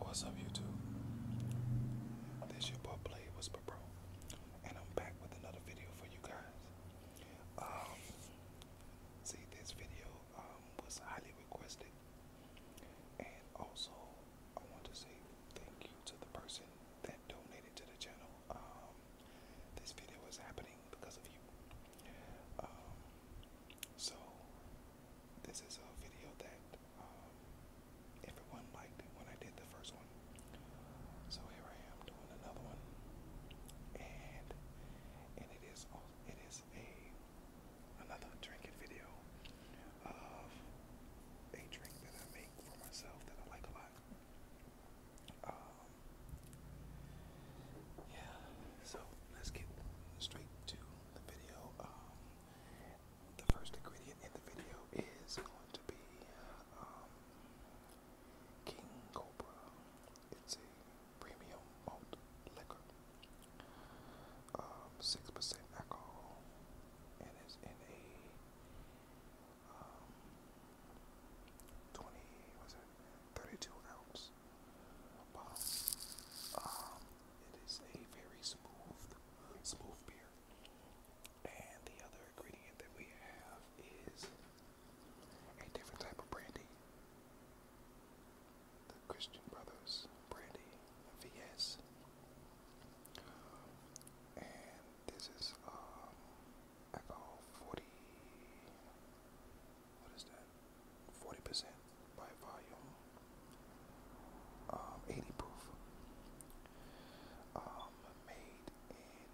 What's up, YouTube? This your boy Blade Whisper Pro, and I'm back with another video for you guys. Um, see, this video um, was highly requested, and also I want to say thank you to the person that donated to the channel. Um, this video is happening because of you. So this is a video that um, everyone liked when I did the first one. So here I am doing another one, and and it is it is a another drinking video of a drink that I make for myself that I like a lot. Um, yeah, so let's get straight to the video. Um, the first ingredient in the video is going to be um, King Cobra. It's a premium malt liquor, um, six percent alcohol, and it's in a um, twenty was it thirty two ounce bottle. It is a very smooth, smooth beer. And the other ingredient that we have is a different type of brandy. The Christian Brothers brandy, VS. And this is um, alcohol 40. What is that? 40% by volume, um, 80 proof, um, made in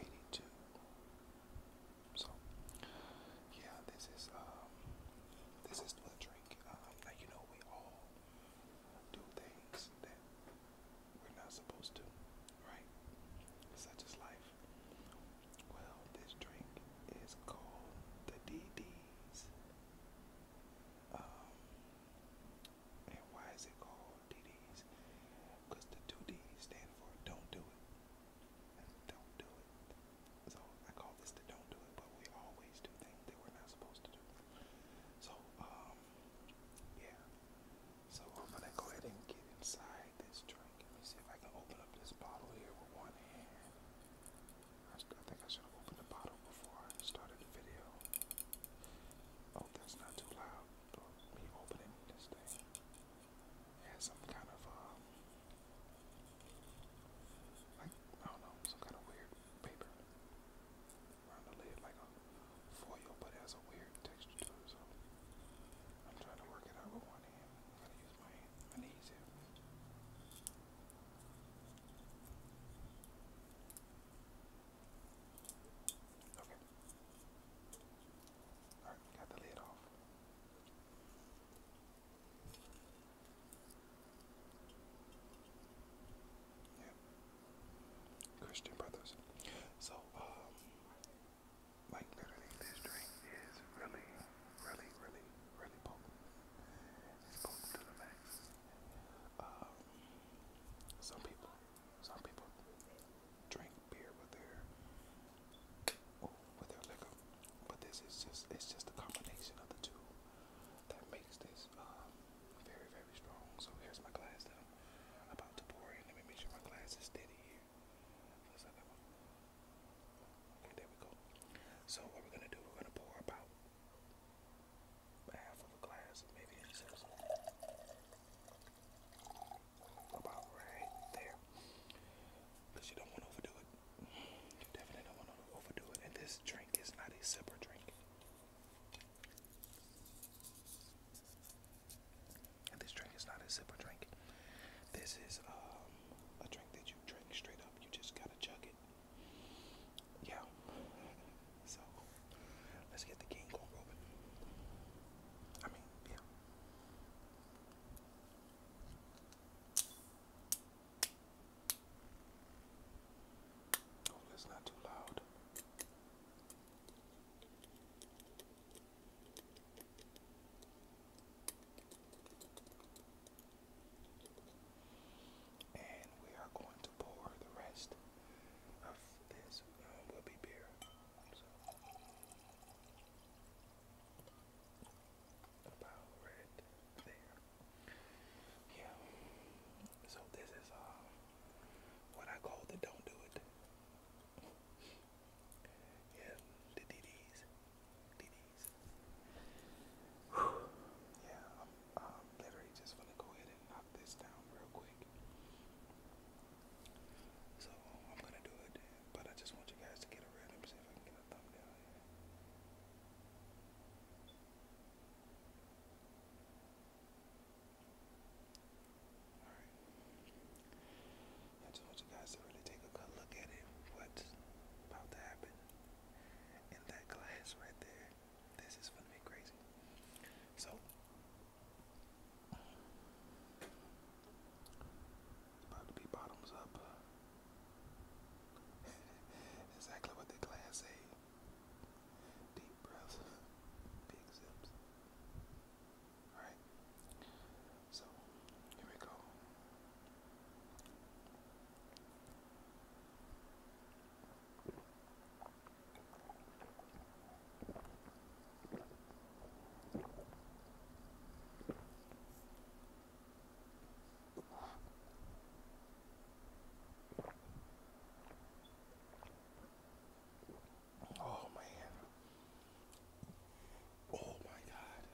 1882. So, yeah, this is um, this is the drink. like um, you know, we all do things that we're not supposed to, right? Such is life. Well, this drink is called the DD um, and why is it called DDs? Because the two Ds stand for don't do it. Don't do it. So I call this the don't do it, but we always do things that we're not supposed to do. So, um, yeah. So I'm gonna go ahead and get inside this drink. Let me see if I can open up this bottle here with one hand. I, think I should have opened the bottle before I started the video. Oh, that's not too loud. Or me opening this thing it has some kind of uh, like I don't know, some kind of weird paper around the lid, like a foil, but has a weird texture to it. So I'm trying to work it out with one hand. I gotta use my hand. Christian brothers. So, like um, literally this drink is really, really, really, really potent. It's um, some people, some people drink beer with their with their liquor, but this is just it's just a combination of the two that makes this um, very very strong. So here's my glass that I'm about to pour in. Let me make sure my glass is steady here. There we go. So what we're gonna do, we're gonna pour about half of a glass, maybe about right there. Cause you don't want to overdo it. definitely don't want to overdo it. And this drink is not a sipper drink. And this drink is not a sipper drink. This is um a drink that you drink straight up. You just gotta chug it yeah. So let's get the King Kong I mean, yeah. Oh, that's not too loud. And we are going to pour the rest of this um, will be beer. So about right there. Yeah. So this is uh, what I call the don't do it. Yeah, the DDs. Yeah, I'm, literally just gonna go ahead and knock this down real quick. So I'm gonna do it, but I just want you guys to get a read. Let see if I can get a thumbnail Alright. I just want you guys to really take a good look at it, what's about to happen in that glass right there. This is gonna be crazy. So about to be bottoms up. exactly what the glass say. Deep breaths, big zips. Alright. So here we go. Oh man. Oh my god.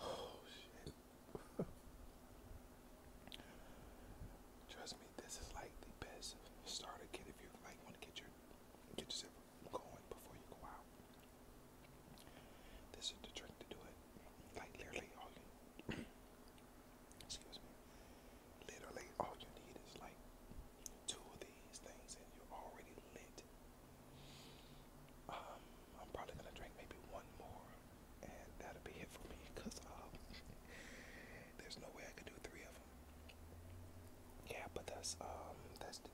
Oh shit. Trust me, this is like the best starter kit if you like want to get your get yourself going before you go out. This is the trick to do it. Like literally all excuse me. Literally all you need is like two of these things and you're already lit. Um, I'm probably gonna drink maybe one more, and that'll be it for me. Cause uh, there's no way I could do three of them. Yeah, but that's um, that's the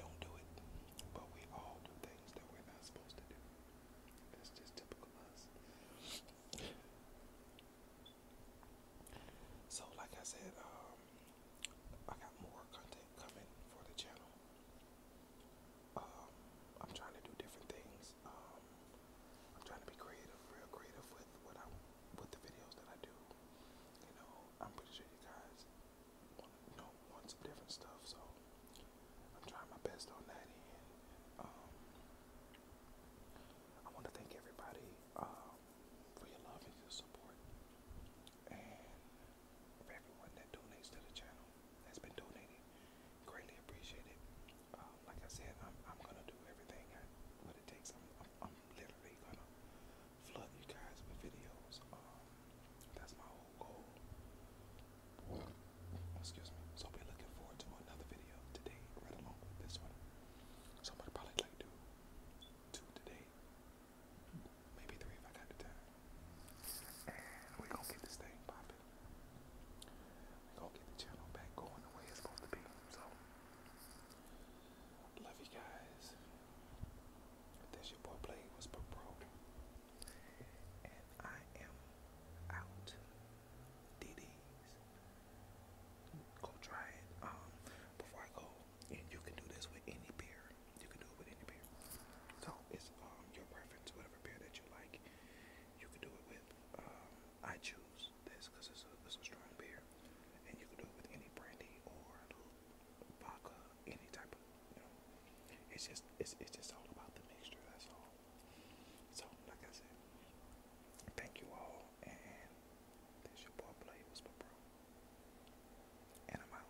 don't do it, but we all do things that we're not supposed to do. That's just typical us. So, like I said, um, I got more content coming for the channel. Um, I'm trying to do different things. Um, I'm trying to be creative, real creative with what I am with the videos that I do. You know, I'm pretty sure you guys want you want some different stuff, so I'm trying my best on that end. Um, I want to thank everybody um, for your love and your support and everyone that donates to the channel that's been donating. Greatly appreciated. Um, like I said, I'm I'm gonna do everything I, what it takes. I'm, I'm literally gonna flood you guys with videos. Um, that's my whole goal. Excuse me. So I'll be looking forward to another video today, right along with this one. So I'm gonna probably do two today maybe three if I got the And we gonna get this thing popping. we gonna get the channel back going the way it's supposed to be. So love you guys. That's your boy Blade was And I am out. DDs. Go try it. Um before I go, and you can do this with any beer. You can do it with any beer. So it's um your preference, whatever beer that you like. You can do it with. Um, I choose this it's it's a strong beer, and you can do it with any brandy or vodka, any type of you know. It's just it's it's just all about the mixture. That's all. So like I said, thank you all, and this your boy Play was my bro, and I'm